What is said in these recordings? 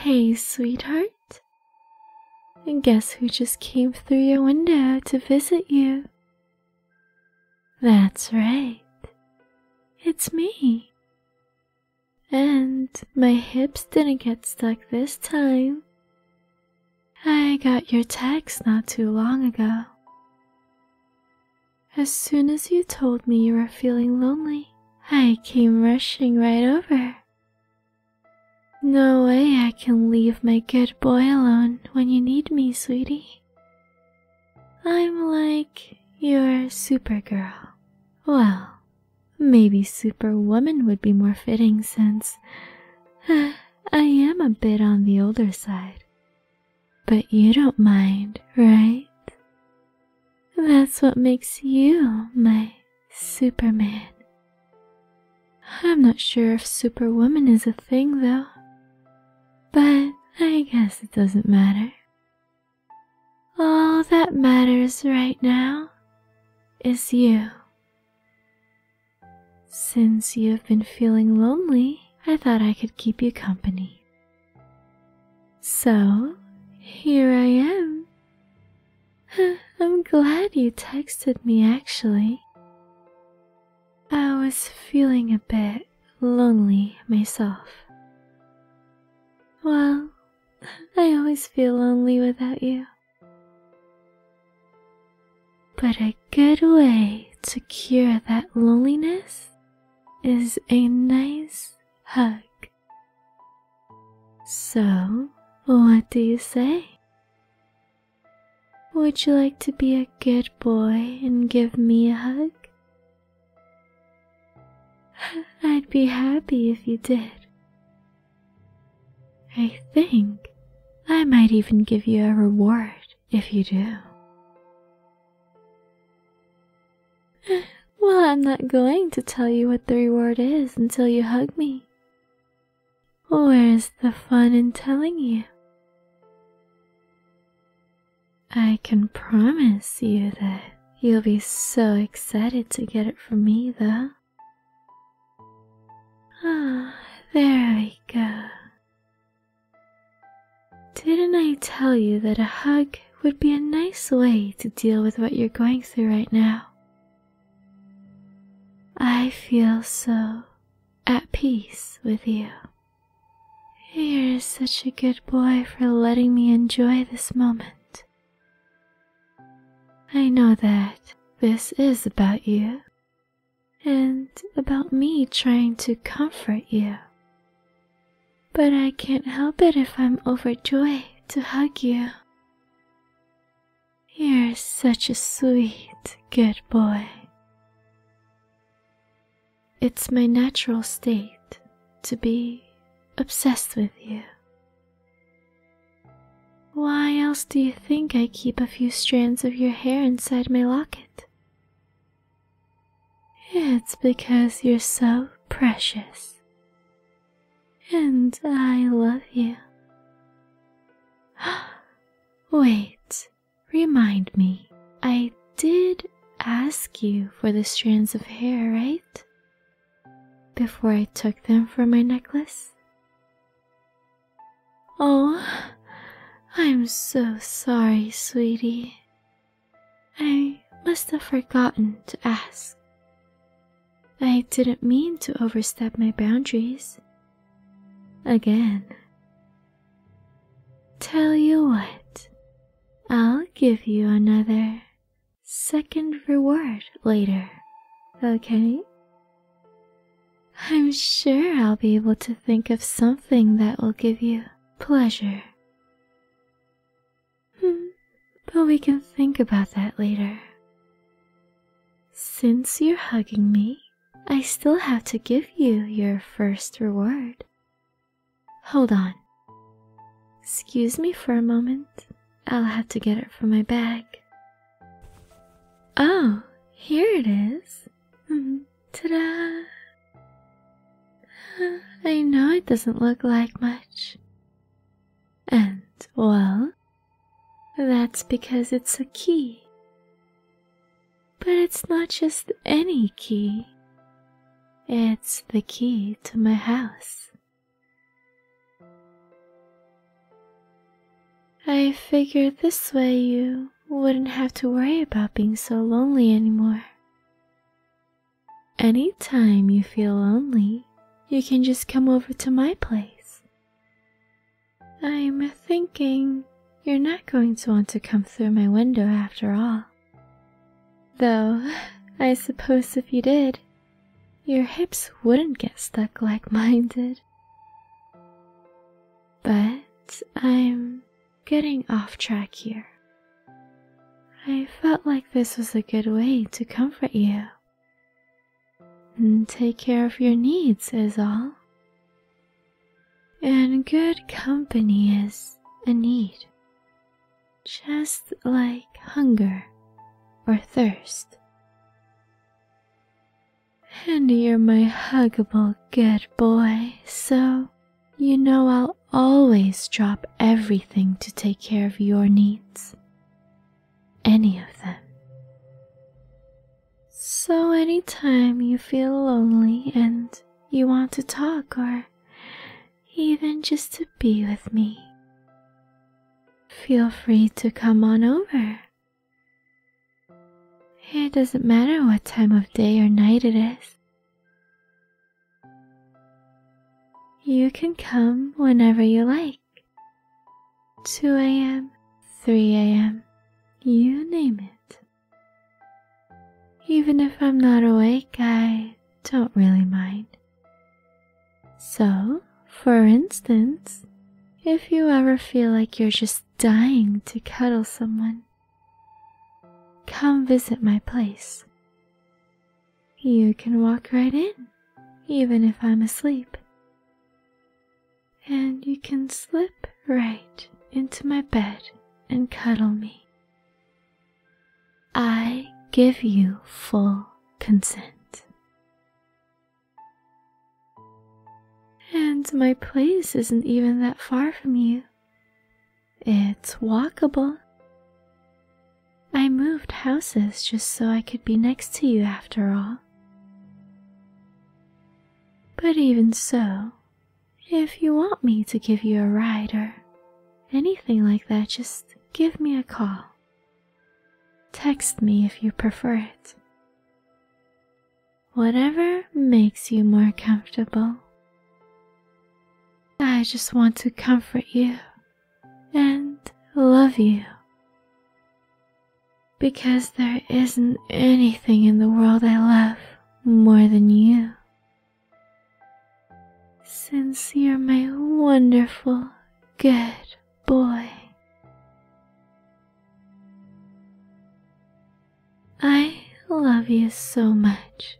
Hey, sweetheart. And guess who just came through your window to visit you? That's right. It's me. And my hips didn't get stuck this time. I got your text not too long ago. As soon as you told me you were feeling lonely, I came rushing right over. No way I can leave my good boy alone when you need me, sweetie. I'm like your supergirl. Well, Maybe Superwoman would be more fitting since uh, I am a bit on the older side. But you don't mind, right? That's what makes you my Superman. I'm not sure if Superwoman is a thing, though. But I guess it doesn't matter. All that matters right now is you. Since you have been feeling lonely, I thought I could keep you company. So, here I am. I'm glad you texted me actually. I was feeling a bit lonely myself. Well, I always feel lonely without you. But a good way to cure that loneliness is a nice hug. So, what do you say? Would you like to be a good boy and give me a hug? I'd be happy if you did. I think I might even give you a reward if you do. Well, I'm not going to tell you what the reward is until you hug me. Where's the fun in telling you? I can promise you that you'll be so excited to get it from me, though. Ah, there we go. Didn't I tell you that a hug would be a nice way to deal with what you're going through right now? I feel so at peace with you. You're such a good boy for letting me enjoy this moment. I know that this is about you and about me trying to comfort you. But I can't help it if I'm overjoyed to hug you. You're such a sweet, good boy. It's my natural state to be obsessed with you. Why else do you think I keep a few strands of your hair inside my locket? It's because you're so precious. And I love you. Wait, remind me. I did ask you for the strands of hair, right? before I took them from my necklace? Oh, I'm so sorry, sweetie. I must have forgotten to ask. I didn't mean to overstep my boundaries. Again. Tell you what, I'll give you another second reward later, okay? I'm sure I'll be able to think of something that will give you pleasure. Hmm, but we can think about that later. Since you're hugging me, I still have to give you your first reward. Hold on. Excuse me for a moment. I'll have to get it from my bag. Oh, here it is. Hmm, Ta da! I know it doesn't look like much. And, well, that's because it's a key. But it's not just any key, it's the key to my house. I figured this way you wouldn't have to worry about being so lonely anymore. Anytime you feel lonely, you can just come over to my place. I'm thinking you're not going to want to come through my window after all. Though, I suppose if you did, your hips wouldn't get stuck like mine did. But I'm getting off track here. I felt like this was a good way to comfort you and take care of your needs, is all. And good company is a need, just like hunger or thirst. And you're my huggable good boy, so you know I'll always drop everything to take care of your needs. Any of them. So, anytime you feel lonely and you want to talk or even just to be with me, Feel free to come on over. It doesn't matter what time of day or night it is. You can come whenever you like. 2 a.m., 3 a.m., you name it. Even if I'm not awake, I don't really mind. So, for instance, if you ever feel like you're just dying to cuddle someone, come visit my place. You can walk right in, even if I'm asleep. And you can slip right into my bed and cuddle me. I give you full consent. And my place isn't even that far from you. It's walkable. I moved houses just so I could be next to you after all. But even so, if you want me to give you a ride or anything like that, just give me a call. Text me if you prefer it. Whatever makes you more comfortable. I just want to comfort you and love you. Because there isn't anything in the world I love more than you. Since you're my wonderful, good, boy. I love you so much.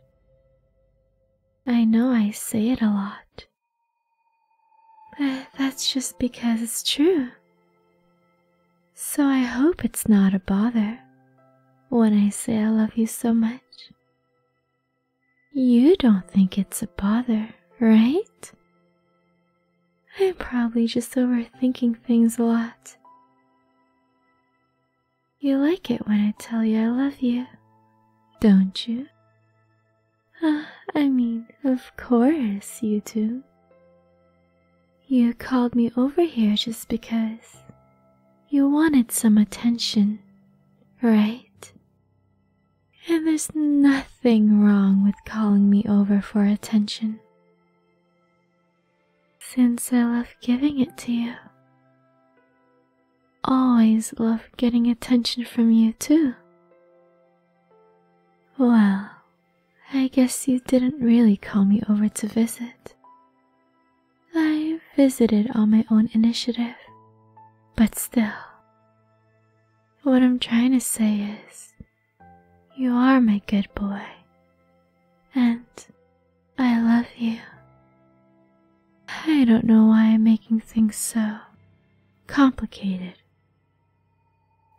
I know I say it a lot, but that's just because it's true. So I hope it's not a bother when I say I love you so much. You don't think it's a bother, right? I'm probably just overthinking things a lot. You like it when I tell you I love you, don't you? Ah, I mean, of course you do. You called me over here just because you wanted some attention, right? And there's nothing wrong with calling me over for attention. Since I love giving it to you, always love getting attention from you, too. Well, I guess you didn't really call me over to visit. I visited on my own initiative, but still, what I'm trying to say is, you are my good boy, and I love you. I don't know why I'm making things so complicated.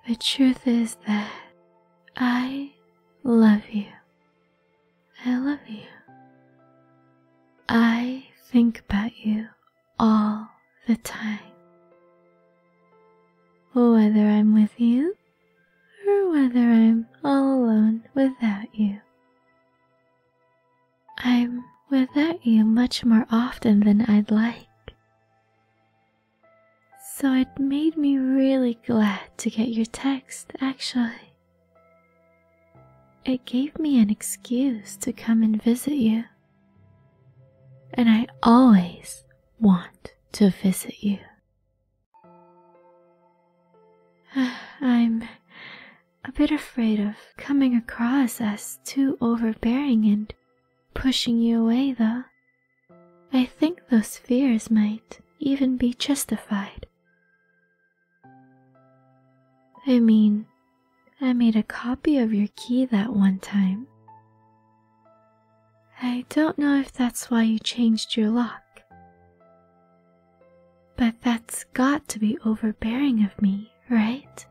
The truth is that I love you. I love you. I think about you all the time. Whether I'm with you or whether I'm all alone without you, I'm without you much more often than I'd like. So it made me really glad to get your text, actually. It gave me an excuse to come and visit you and I always want to visit you. I'm a bit afraid of coming across as too overbearing and pushing you away, though. I think those fears might even be justified. I mean, I made a copy of your key that one time. I don't know if that's why you changed your lock. But that's got to be overbearing of me, right?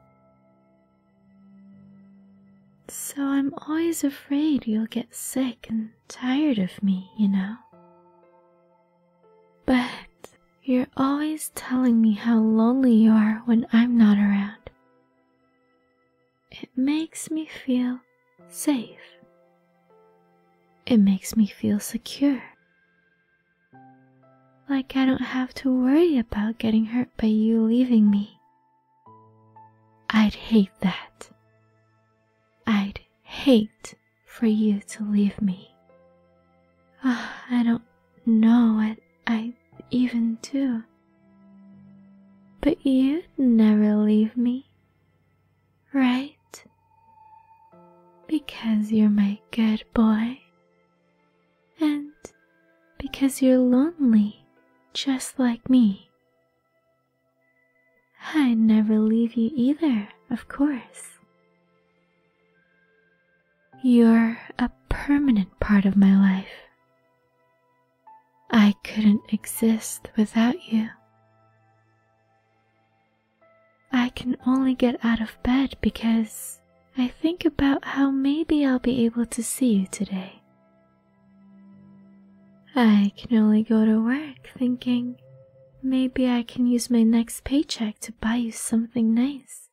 So I'm always afraid you'll get sick and tired of me, you know. But you're always telling me how lonely you are when I'm not around. It makes me feel safe. It makes me feel secure. Like I don't have to worry about getting hurt by you leaving me. I'd hate that. I'd hate for you to leave me. Ah, I don't know. I, I even two. But you'd never leave me, right? Because you're my good boy, and because you're lonely just like me. I'd never leave you either, of course. You're a permanent part of my life. I couldn't exist without you. I can only get out of bed because I think about how maybe I'll be able to see you today. I can only go to work thinking maybe I can use my next paycheck to buy you something nice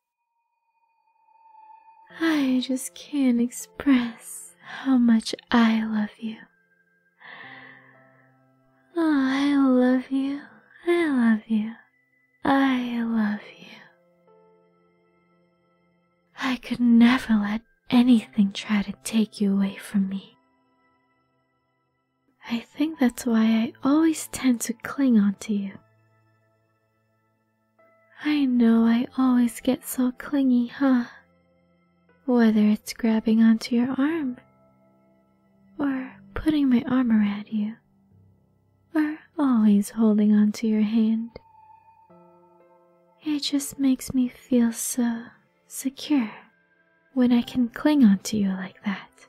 I just can't express how much I love you. Oh, I love you. I love you. I love you. I could never let anything try to take you away from me. I think that's why I always tend to cling on to you. I know I always get so clingy, huh? Whether it's grabbing onto your arm, or putting my arm around you, or always holding onto your hand. It just makes me feel so secure when I can cling onto you like that.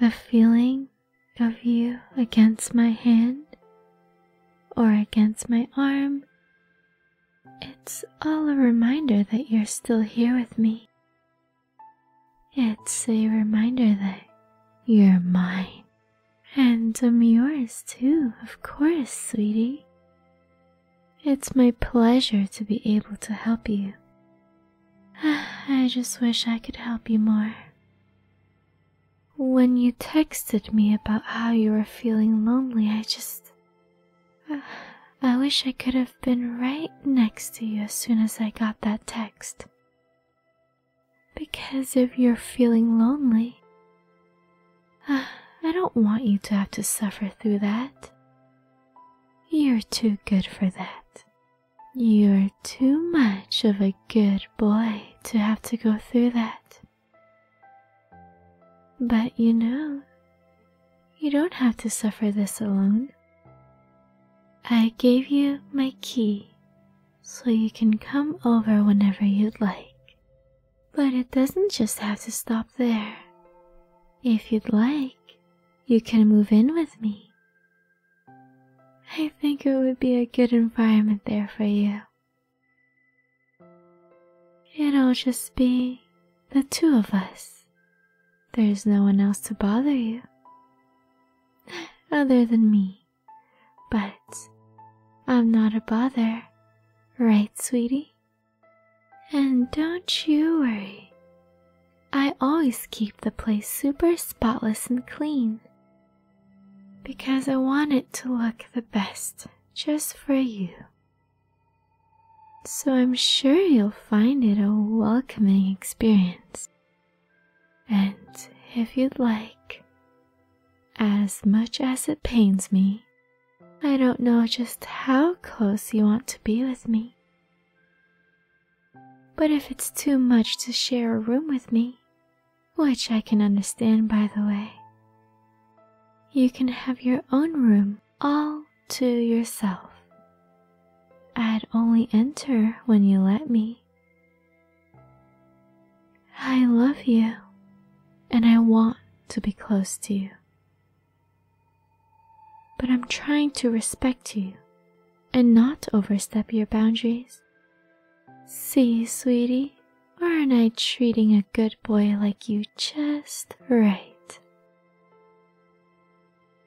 The feeling of you against my hand or against my arm. It's all a reminder that you're still here with me. It's a reminder that you're mine. And I'm yours too, of course, sweetie. It's my pleasure to be able to help you. I just wish I could help you more. When you texted me about how you were feeling lonely, I just. Uh, I wish I could have been right next to you as soon as I got that text. Because if you're feeling lonely, uh, I don't want you to have to suffer through that. You're too good for that. You're too much of a good boy to have to go through that. But you know, you don't have to suffer this alone. I gave you my key so you can come over whenever you'd like. But it doesn't just have to stop there. If you'd like, you can move in with me. I think it would be a good environment there for you. It'll just be the two of us. There's no one else to bother you other than me. But I'm not a bother, right, sweetie? And don't you worry. I always keep the place super spotless and clean, because I want it to look the best just for you. So I'm sure you'll find it a welcoming experience. And if you'd like, as much as it pains me, I don't know just how close you want to be with me. But if it's too much to share a room with me, which I can understand by the way. You can have your own room all to yourself. I'd only enter when you let me. I love you, and I want to be close to you. But I'm trying to respect you and not overstep your boundaries. See, sweetie, aren't I treating a good boy like you just right?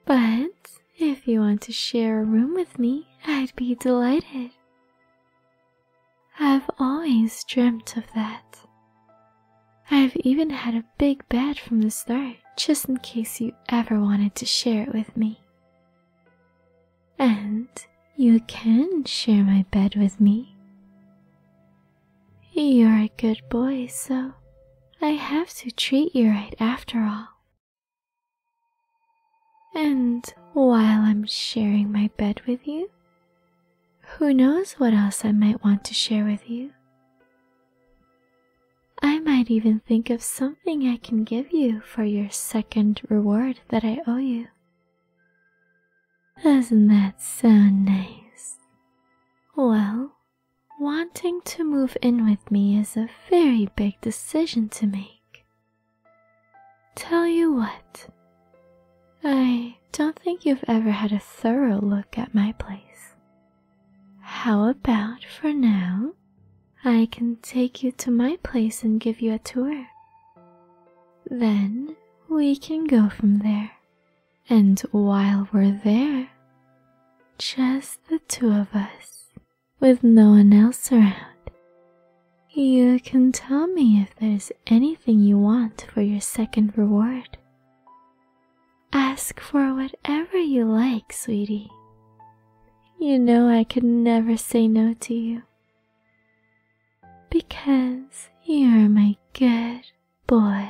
But if you want to share a room with me, I'd be delighted. I've always dreamt of that. I've even had a big bed from the start, just in case you ever wanted to share it with me and you can share my bed with me. You're a good boy, so I have to treat you right after all. And while I'm sharing my bed with you, who knows what else I might want to share with you? I might even think of something I can give you for your second reward that I owe you does not that sound nice? Well, wanting to move in with me is a very big decision to make. Tell you what, I don't think you've ever had a thorough look at my place. How about for now? I can take you to my place and give you a tour. Then we can go from there. And while we're there, just the two of us, with no one else around, you can tell me if there's anything you want for your second reward. Ask for whatever you like, sweetie. You know I could never say no to you because you're my good boy.